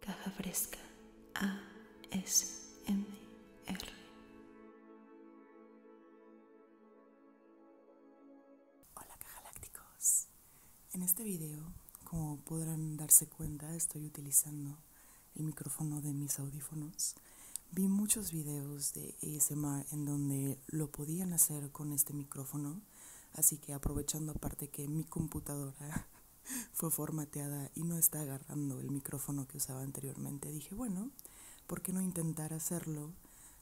Caja Fresca ASMR. Hola Lácticos. En este video, como podrán darse cuenta, estoy utilizando el micrófono de mis audífonos. Vi muchos videos de ASMR en donde lo podían hacer con este micrófono Así que aprovechando aparte que mi computadora fue formateada y no está agarrando el micrófono que usaba anteriormente, dije, bueno, ¿por qué no intentar hacerlo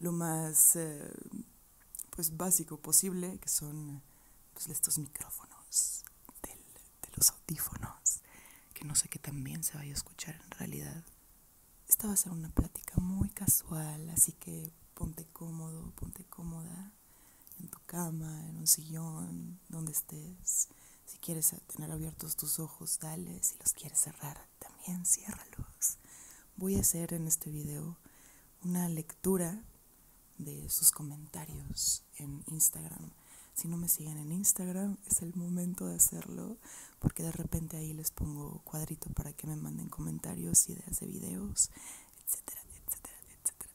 lo más eh, pues básico posible, que son pues, estos micrófonos del, de los audífonos, que no sé qué también se vaya a escuchar en realidad. Esta va a ser una plática muy casual, así que ponte cómodo, ponte cómoda en tu cama, en un sillón, donde estés. Si quieres tener abiertos tus ojos, dale. Si los quieres cerrar, también ciérralos. Voy a hacer en este video una lectura de sus comentarios en Instagram. Si no me siguen en Instagram, es el momento de hacerlo, porque de repente ahí les pongo cuadrito para que me manden comentarios, ideas de videos, etcétera, etcétera, etcétera,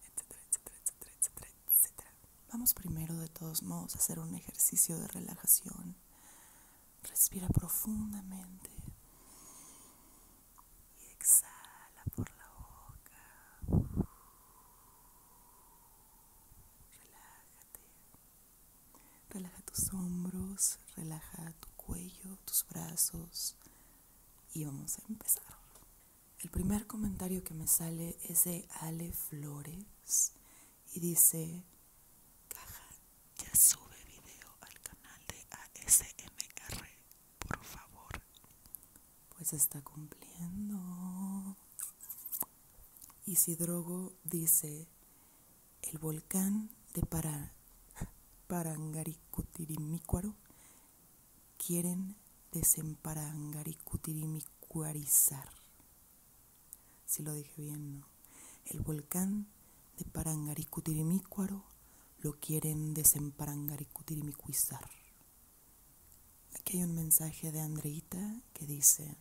Vamos primero de todos modos a hacer un ejercicio de relajación. Respira profundamente y exhala por la boca. Relájate. Relaja tus hombros, relaja tu cuello, tus brazos y vamos a empezar. El primer comentario que me sale es de Ale Flores y dice, caja, ya sube video al canal de ASMR, por favor. Pues está cumpliendo. Y Isidrogo dice, el volcán de Parangaricutirimícuaro quieren desemparangar y Si lo dije bien, ¿no? El volcán de Parangaricutirimícuaro lo quieren desemparangaricutirimicuzar. Aquí hay un mensaje de Andreita que dice,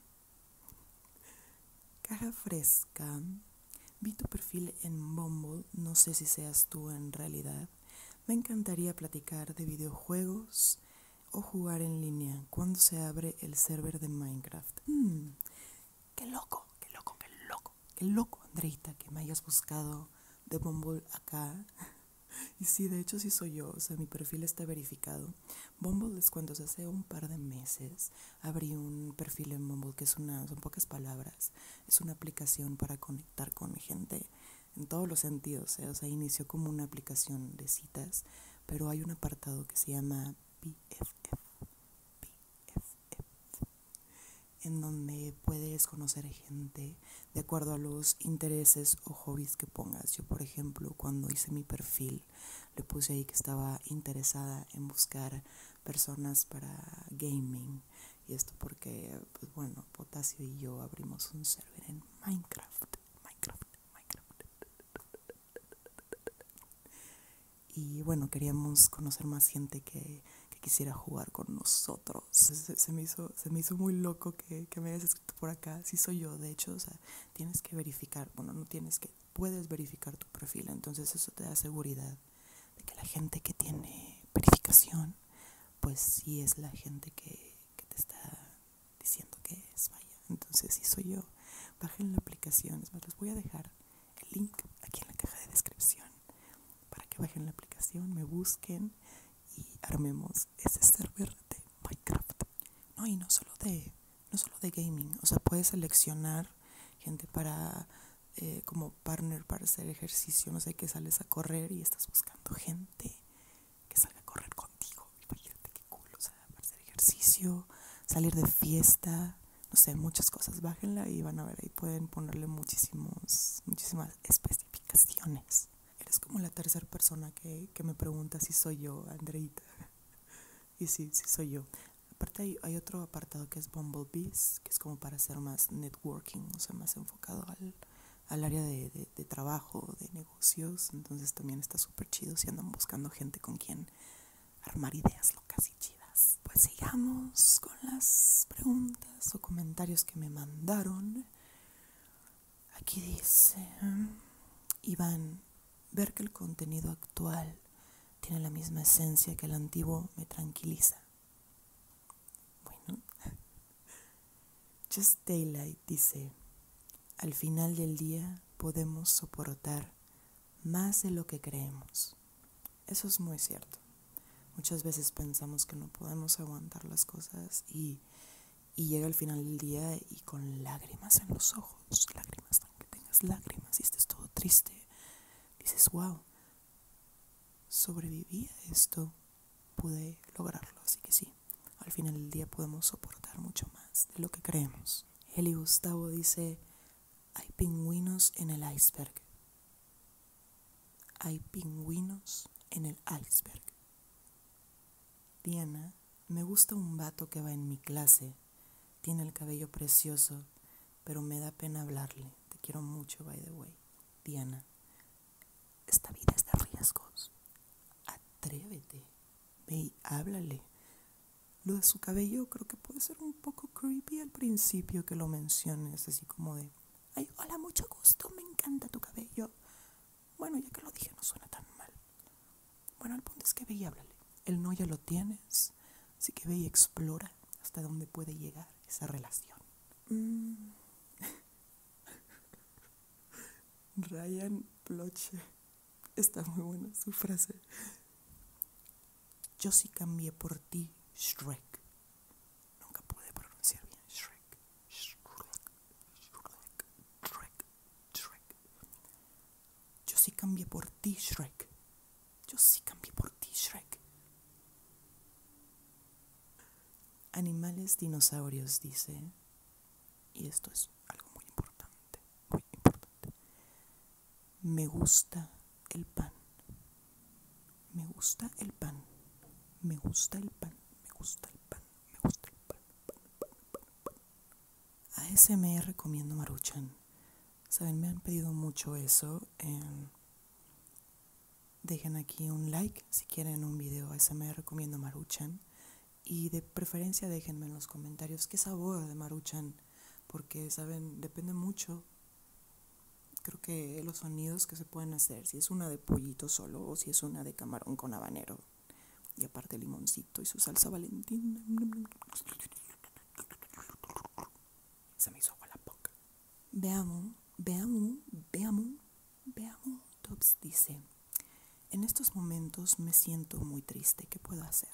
Caja fresca, vi tu perfil en Bumble, no sé si seas tú en realidad, me encantaría platicar de videojuegos o jugar en línea cuando se abre el server de Minecraft. Hmm, ¡Qué loco, qué loco, qué loco! ¡Qué loco, Andreita, que me hayas buscado de Bumble acá! Y sí, de hecho sí soy yo, o sea, mi perfil está verificado. Bumble es cuando hace un par de meses abrí un perfil en Bumble que es una, son pocas palabras, es una aplicación para conectar con gente en todos los sentidos. ¿eh? O sea, inició como una aplicación de citas, pero hay un apartado que se llama pff BFF en donde puedes conocer gente de acuerdo a los intereses o hobbies que pongas. Yo, por ejemplo, cuando hice mi perfil, le puse ahí que estaba interesada en buscar personas para gaming y esto porque, pues bueno, Potasio y yo abrimos un server en Minecraft. Minecraft, Minecraft. Y bueno, queríamos conocer más gente que, quisiera jugar con nosotros. Se, me, hizo, se me hizo muy loco que, me hayas escrito por acá. Sí soy yo, de hecho, tienes que verificar. Bueno, no tienes que, puedes verificar tu perfil. Entonces eso te da seguridad de que la gente que tiene verificación pues sí es la gente que, te está diciendo que es, vaya. Entonces, si soy yo, bajen la aplicación. les voy a dejar el link aquí en la caja de descripción para que bajen la aplicación, me busquen y armemos ese server de Minecraft. No, y no solo de, no solo de gaming, o sea, puedes seleccionar gente para eh, como partner para hacer ejercicio, no sé que sales a correr y estás buscando gente que salga a correr contigo. Imagínate qué culo, o sea, para hacer ejercicio, salir de fiesta, no sé, muchas cosas. Bájenla y van a ver, ahí pueden ponerle muchísimos, muchísimas especificaciones. Eres como la tercera persona que, me pregunta si soy yo, Andreita. y sí, sí soy yo. Aparte hay, hay, otro apartado que es Bumblebees, que es como para hacer más networking, o sea, más enfocado al, al área de, trabajo, de negocios, entonces también está súper chido si andan buscando gente con quien armar ideas locas y chidas. Pues sigamos con las preguntas o comentarios que me mandaron. Aquí dice, Iván, ver que el contenido actual tiene la misma esencia que el antiguo me tranquiliza. Bueno, Just Daylight dice, al final del día podemos soportar más de lo que creemos. Eso es muy cierto. Muchas veces pensamos que no podemos aguantar las cosas y, llega el final del día y con lágrimas en los ojos, lágrimas, aunque tengas lágrimas y estés todo triste, dices, wow, sobreviví a esto, pude lograrlo. Así que sí, al final del día podemos soportar mucho más de lo que creemos. Eli Gustavo dice, hay pingüinos en el iceberg. Hay pingüinos en el iceberg. Diana, me gusta un vato que va en mi clase. Tiene el cabello precioso, pero me da pena hablarle. Te quiero mucho, by the way. Diana, esta vida está de riesgos. Atrévete. Ve y háblale. Lo de su cabello creo que puede ser un poco creepy al principio que lo menciones, así como de, ay, hola, mucho gusto, me encanta tu cabello. Bueno, ya que lo dije, no suena tan mal. Bueno, al punto es que ve y háblale. El no ya lo tienes, así que ve y explora hasta dónde puede llegar esa relación. Mm. Ryan Bloche. Está muy buena su frase. Yo sí cambié por ti, Shrek. Nunca pude pronunciar bien Shrek. Shrek. Shrek. Shrek. Shrek. Yo sí cambié por ti, Shrek. Yo sí cambié por ti, Shrek. Animales dinosaurios, dice. Y esto es algo muy importante, muy importante. Me gusta el pan. Me gusta el pan. Me gusta el pan. Me gusta el pan. Me gusta el pan. pan, A ese recomiendo Maruchan. Saben, me han pedido mucho eso. en... Eh, Dejen aquí un like si quieren un video me recomiendo Maruchan. Y de preferencia déjenme en los comentarios qué sabor de Maruchan. Porque, saben, depende mucho. Creo que los sonidos que se pueden hacer, si es una de pollito solo o si es una de camarón con habanero. Y aparte limoncito y su salsa valentina. Se me hizo agua la poca. Veamos, veamos, veamos. Veamos, Tops dice, en estos momentos me siento muy triste, ¿qué puedo hacer?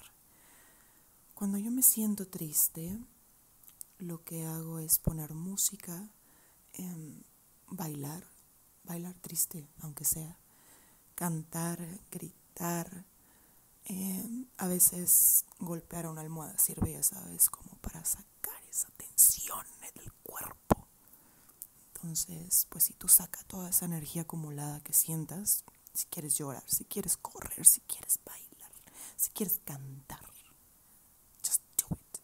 Cuando yo me siento triste, lo que hago es poner música, em, bailar, bailar triste, aunque sea, cantar, gritar, em, a veces golpear una almohada sirve, ya sabes, como para sacar esa tensión, cuerpo. Entonces, pues si tú saca toda esa energía acumulada que sientas, si quieres llorar, si quieres correr, si quieres bailar, si quieres cantar, just do it.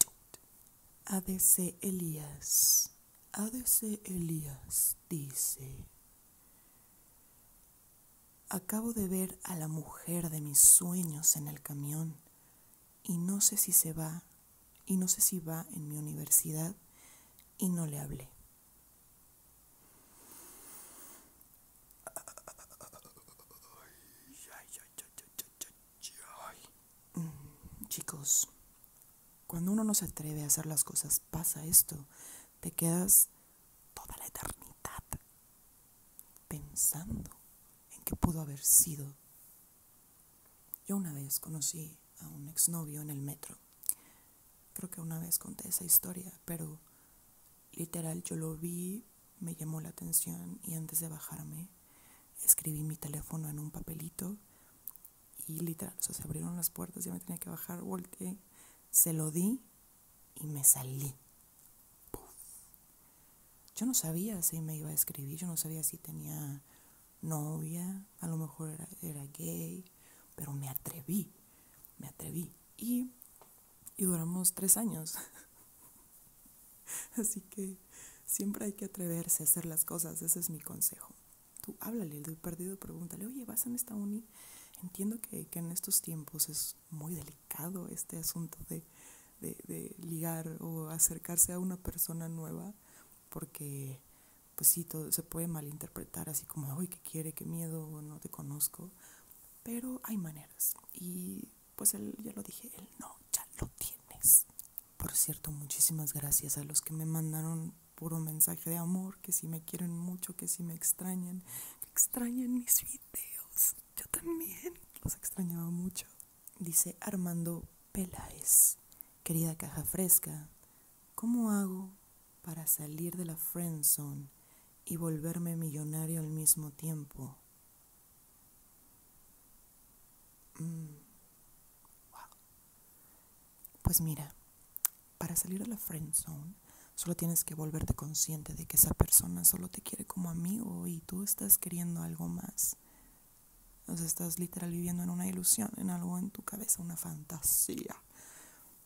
Do it. ADC Elías. ADC Elías dice, acabo de ver a la mujer de mis sueños en el camión y no sé si se va, y no sé si va en mi universidad, y no le hablé. Mm, chicos, cuando uno no se atreve a hacer las cosas, pasa esto. Te quedas toda la eternidad pensando en qué pudo haber sido yo una vez conocí a un exnovio en el metro. Creo que una vez conté esa historia, pero literal yo lo vi, me llamó la atención y antes de bajarme escribí mi teléfono en un papelito y literal, se abrieron las puertas, ya me tenía que bajar, volteé, se lo di y me salí. Yo no sabía si me iba a escribir, yo no sabía si tenía novia, a lo mejor era, gay, pero me atreví, me atreví. Y, duramos tres años. Así que siempre hay que atreverse a hacer las cosas, ese es mi consejo. Tú háblale del perdido, pregúntale, oye, ¿vas en esta uni? Entiendo que en estos tiempos es muy delicado este asunto de, de, ligar o acercarse a una persona nueva, porque pues sí, todo se puede malinterpretar así como, uy, ¿qué quiere? ¿Qué miedo? No te conozco. Pero hay maneras. Y pues él, ya lo dije, él no, ya lo tienes. Por cierto, muchísimas gracias a los que me mandaron puro mensaje de amor, que si me quieren mucho, que si me extrañan, extrañan mis videos. Yo también los extrañaba mucho. Dice Armando Peláez, querida caja fresca, ¿cómo hago para salir de la friend zone y volverme millonario al mismo tiempo? Mm. Pues mira, para salir de la friend zone Solo tienes que volverte consciente de que esa persona solo te quiere como amigo y tú estás queriendo algo más. O sea, estás literal viviendo en una ilusión, en algo en tu cabeza, una fantasía.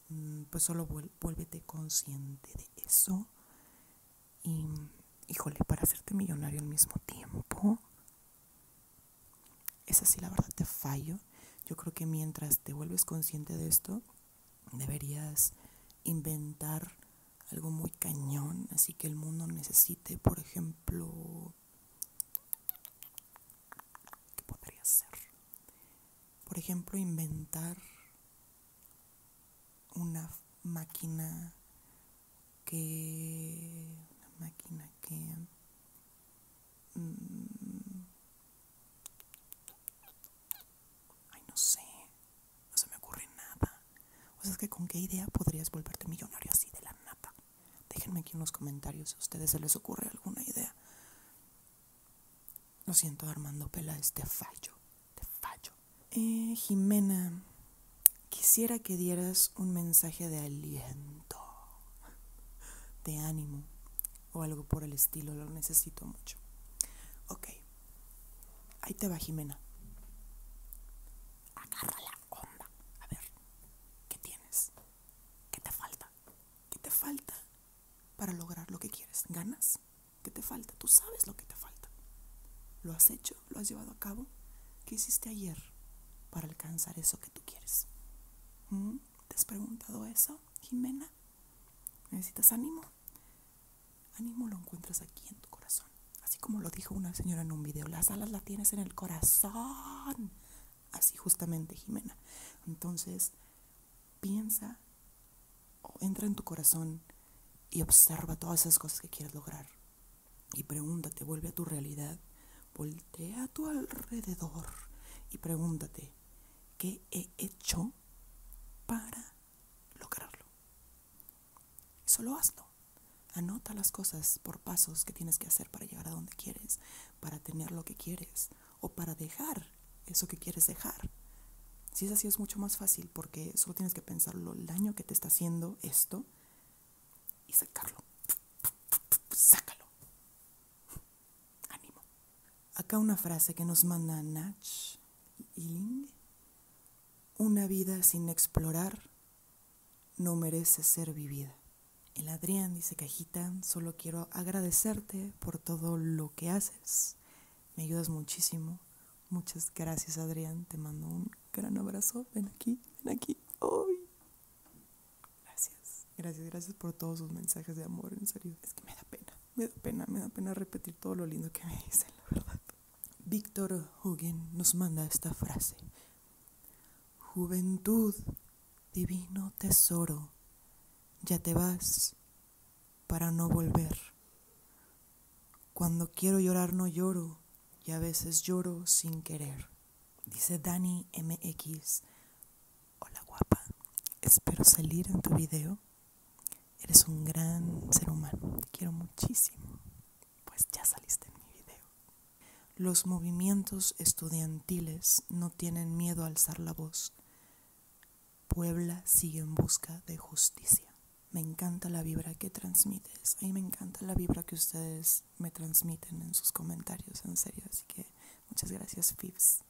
Mm, pues solo vuélvete consciente de eso. Y, híjole, para hacerte millonario al mismo tiempo, esa sí la verdad te fallo. Yo creo que mientras te vuelves consciente de esto, deberías inventar algo muy cañón, así que el mundo necesite, por ejemplo, ¿qué podría ser? Por ejemplo, inventar una máquina que una máquina que mm, ay no sé no se me ocurre nada o sea, es que con qué idea podrías volverte millonario así de la nata. Déjenme aquí en los comentarios si a ustedes se les ocurre alguna idea. Lo siento, Armando es de fallo, De fallo. Eh, Jimena, quisiera que dieras un mensaje de aliento, de ánimo o algo por el estilo, lo necesito mucho. Ok, ahí te va Jimena. Agárrala onda. A ver, ¿qué tienes? ¿Qué te falta? ¿Qué te falta para lograr lo que quieres? ¿Ganas? ¿Qué te falta? Tú sabes lo que te falta. ¿Lo has hecho? ¿Lo has llevado a cabo? ¿Qué hiciste ayer para alcanzar eso que tú quieres? ¿Mm? ¿Te has preguntado eso, Jimena? ¿Necesitas ánimo? Ánimo lo encuentras aquí en tu corazón. Así como lo dijo una señora en un video, las alas las tienes en el corazón. Así justamente, Jimena. Entonces, piensa o entra en tu corazón y observa todas esas cosas que quieres lograr. Y pregúntate, vuelve a tu realidad, voltea a tu alrededor y pregúntate, ¿qué he hecho para lograrlo? Solo hazlo. Anota las cosas por pasos que tienes que hacer para llegar a donde quieres, para tener lo que quieres o para dejar eso que quieres dejar. Si es así es mucho más fácil porque solo tienes que pensarlo el daño que te está haciendo esto y sacarlo. Sácalo. Ánimo. Acá una frase que nos manda Nach Ling. Una vida sin explorar no merece ser vivida. El Adrián dice, Cajita, solo quiero agradecerte por todo lo que haces. Me ayudas muchísimo. Muchas gracias, Adrián. Te mando un gran abrazo. Ven aquí, ven aquí. hoy Gracias. Gracias, gracias por todos sus mensajes de amor, en serio. Es que me da pena, me da pena, me da pena repetir todo lo lindo que me dicen, la verdad. Víctor Hugen nos manda esta frase. Juventud, divino tesoro, ya te vas para no volver. Cuando quiero llorar no lloro y a veces lloro sin querer. Dice Dani MX. Hola guapa, espero salir en tu video. Eres un gran ser humano, te quiero muchísimo pues ya saliste en mi video. Los movimientos estudiantiles no tienen miedo a alzar la voz. Puebla sigue en busca de justicia. Me encanta la vibra que transmites. A mí me encanta la vibra que ustedes me transmiten en sus comentarios, en serio. Así que muchas gracias, Fibs.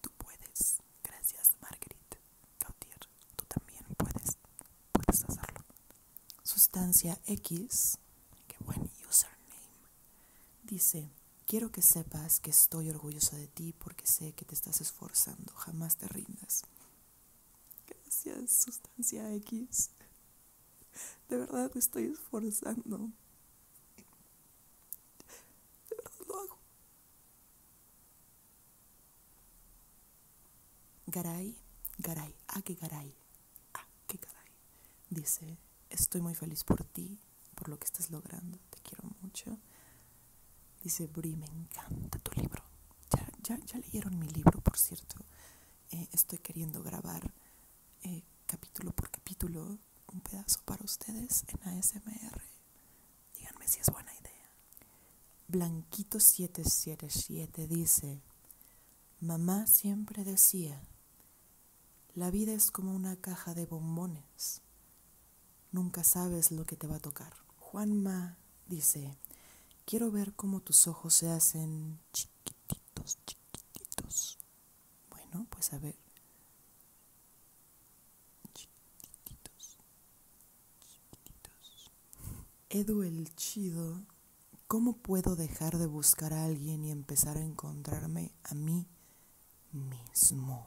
Tú puedes. Gracias, Marguerite Gautier, tú también puedes. Puedes hacerlo. Sustancia X, qué buen username, dice, quiero que sepas que estoy orgullosa de ti porque sé que te estás esforzando, jamás te rindas. Gracias, Sustancia X. De verdad estoy esforzando. Garay, Garay, a ah, que Garay, a ah, que Garay, dice, estoy muy feliz por ti, por lo que estás logrando, te quiero mucho. Dice, Bri, me encanta tu libro. Ya, ya, leyeron mi libro, por cierto. Eh, estoy queriendo grabar eh, capítulo por capítulo un pedazo para ustedes en ASMR. Díganme si es buena idea. Blanquito777 dice, Mamá siempre decía, la vida es como una caja de bombones, nunca sabes lo que te va a tocar. Juanma dice, quiero ver cómo tus ojos se hacen chiquititos, chiquititos. Bueno, pues a ver. Chiquititos, chiquititos. Edu chido ¿Cómo puedo dejar de buscar a alguien y empezar a encontrarme a mí mismo?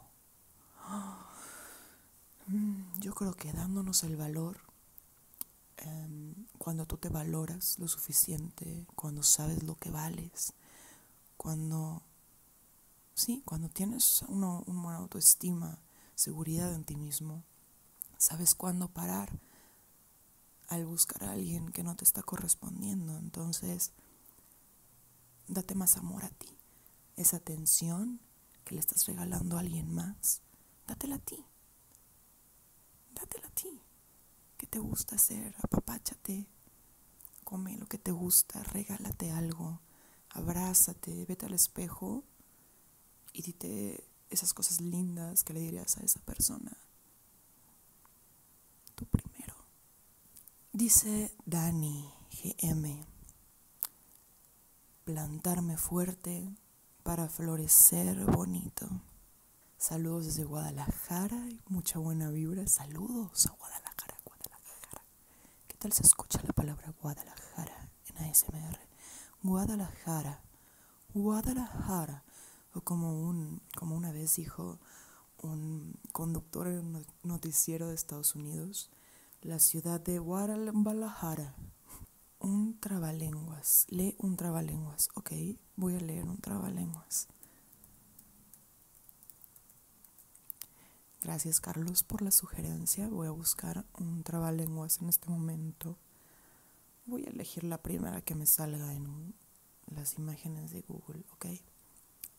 Yo creo que dándonos el valor, em, cuando tú te valoras lo suficiente, cuando sabes lo que vales, cuando, sí, cuando tienes una, una autoestima, seguridad en ti mismo, sabes cuándo parar, al buscar a alguien que no te está correspondiendo. Entonces, date más amor a ti. Esa atención que le estás regalando a alguien más, datela a ti. Dátela a ti. que te gusta hacer? Apapáchate. Come lo que te gusta. Regálate algo. Abrázate. Vete al espejo y dite esas cosas lindas que le dirías a esa persona. Tú primero. Dice Dani GM, plantarme fuerte para florecer bonito. Saludos desde Guadalajara y mucha buena vibra. Saludos a Guadalajara, Guadalajara. ¿Qué tal se escucha la palabra Guadalajara en ASMR? Guadalajara, Guadalajara o como, un, como una vez dijo un conductor en un noticiero de Estados Unidos, la ciudad de Guadalajara. Un trabalenguas, lee un trabalenguas, ok, voy a leer un trabalenguas. Gracias Carlos por la sugerencia, voy a buscar un trabalenguas en este momento. Voy a elegir la primera que me salga en las imágenes de Google, ¿ok?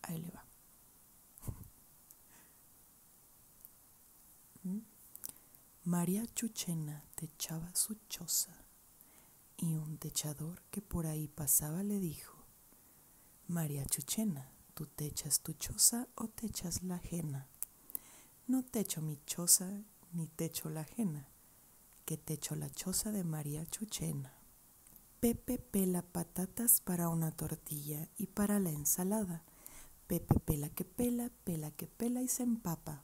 Ahí le va. ¿Mm? María Chuchena techaba su choza y un techador que por ahí pasaba le dijo, María Chuchena, ¿tú techas tu choza o techas la ajena? No techo mi choza ni techo la ajena, que te echó la choza de María Chuchena. Pepe pela patatas para una tortilla y para la ensalada. Pepe pela que pela, pela que pela y se empapa.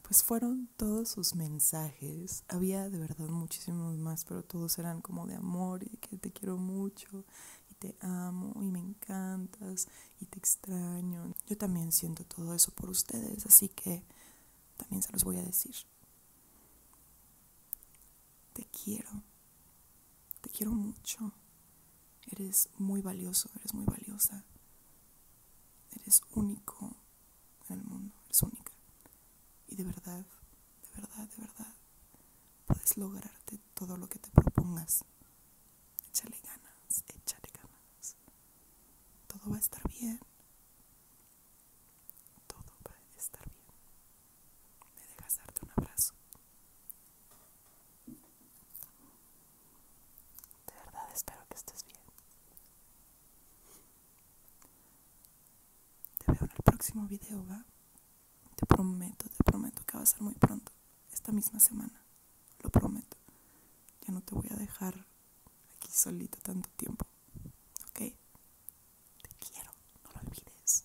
Pues fueron todos sus mensajes. Había de verdad muchísimos más, pero todos eran como de amor y que te quiero mucho y te amo y me encantas y te extraño. Yo también siento todo eso por ustedes, así que también se los voy a decir. Te quiero, te quiero mucho, eres muy valioso, eres muy valiosa, eres único en el mundo, eres única. Y de verdad, de verdad, de verdad, puedes lograrte todo lo que te propongas. Échale ganas, échale ganas. Todo va a estar bien. Todo va a estar bien. Me dejas darte un abrazo. De verdad espero que estés bien. Te veo en el próximo video, ¿va? Te prometo, te prometo que va a ser muy pronto. Esta misma semana. Lo prometo. Ya no te voy a dejar aquí solito tanto tiempo. ¿Ok? Te quiero, no lo olvides.